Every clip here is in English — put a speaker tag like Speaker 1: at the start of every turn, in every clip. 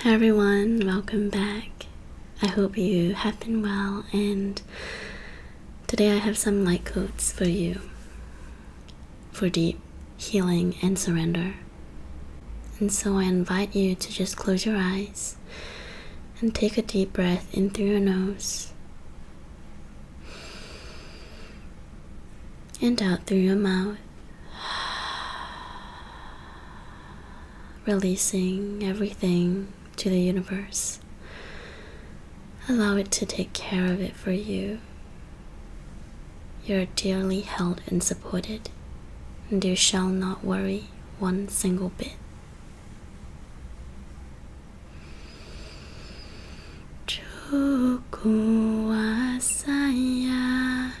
Speaker 1: Hi everyone, welcome back. I hope you have been well and today I have some light codes for you for deep healing and surrender. And so I invite you to just close your eyes and take a deep breath in through your nose and out through your mouth. Releasing everything to the universe. Allow it to take care of it for you. You are dearly held and supported, and you shall not worry one single bit. Cukup saya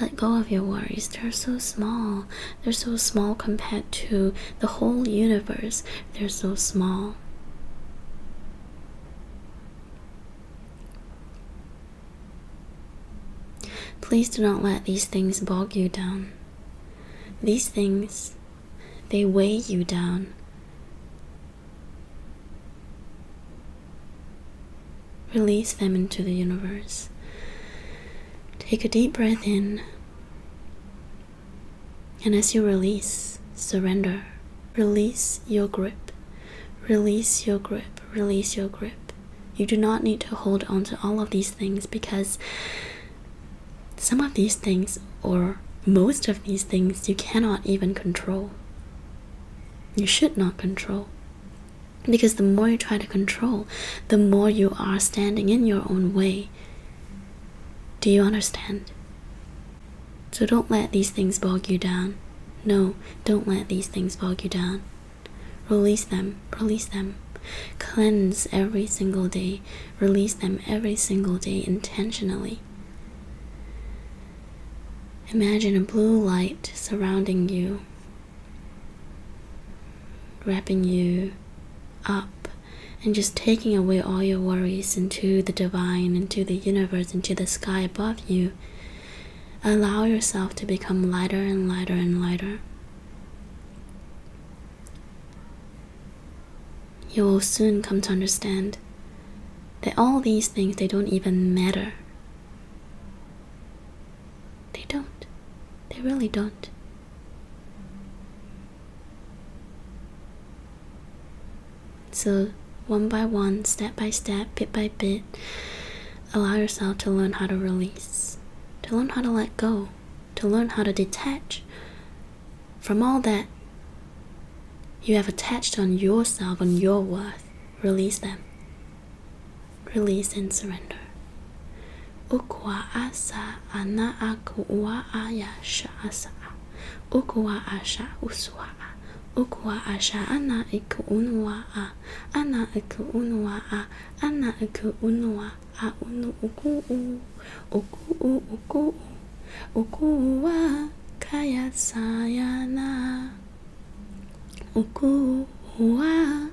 Speaker 1: Let go of your worries. They're so small. They're so small compared to the whole universe. They're so small. Please do not let these things bog you down. These things, they weigh you down. Release them into the universe. Take a deep breath in, and as you release, surrender. Release your grip. Release your grip. Release your grip. You do not need to hold on to all of these things because some of these things, or most of these things, you cannot even control. You should not control. Because the more you try to control, the more you are standing in your own way. Do you understand? So don't let these things bog you down. No, don't let these things bog you down. Release them, release them. Cleanse every single day, release them every single day intentionally. Imagine a blue light surrounding you wrapping you up and just taking away all your worries into the divine, into the universe, into the sky above you. Allow yourself to become lighter and lighter and lighter. You will soon come to understand that all these things they don't even matter. They don't. They really don't. So, one by one, step by step, bit by bit, allow yourself to learn how to release, to learn how to let go, to learn how to detach from all that you have attached on yourself, on your worth. Release them release and surrender. Ukwa asa ana akwa aya sha asa. Ukwa asha uswa. Ukwa asha ana ikunwa a. Ana ikunwa a. Ana ikunwa a unu uku u. Uku u uku u. wa kaya sayana. Uku wa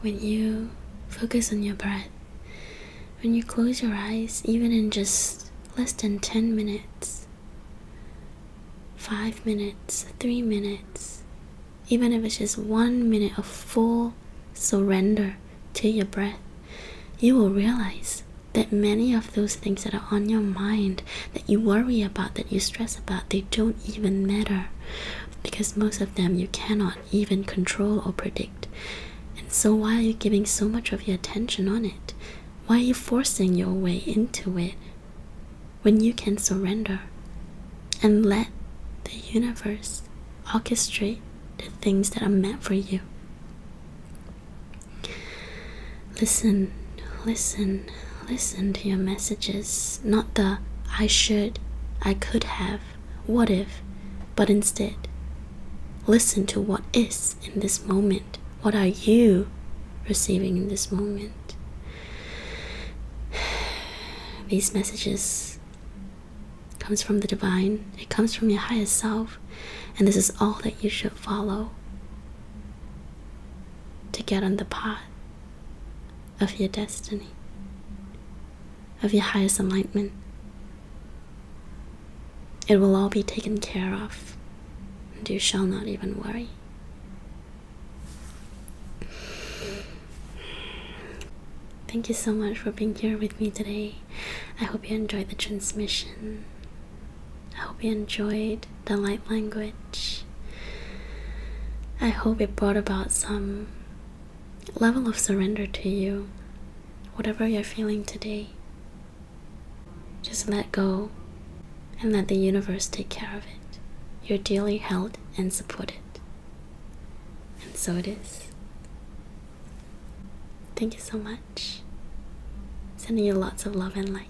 Speaker 1: When you focus on your breath, when you close your eyes, even in just less than 10 minutes, 5 minutes, 3 minutes, even if it's just one minute of full surrender to your breath, you will realize that many of those things that are on your mind, that you worry about, that you stress about, they don't even matter because most of them you cannot even control or predict. And so, why are you giving so much of your attention on it? Why are you forcing your way into it when you can surrender and let the universe orchestrate the things that are meant for you. Listen, listen, listen to your messages, not the I should, I could have, what if, but instead, listen to what is in this moment. What are you receiving in this moment? These messages comes from the divine, it comes from your highest self, and this is all that you should follow to get on the path of your destiny, of your highest enlightenment. It will all be taken care of, and you shall not even worry. Thank you so much for being here with me today. I hope you enjoyed the transmission. I hope you enjoyed the light language. I hope it brought about some level of surrender to you. Whatever you're feeling today, just let go and let the universe take care of it. You're dearly held and supported. And so it is. Thank you so much. Sending you lots of love and light.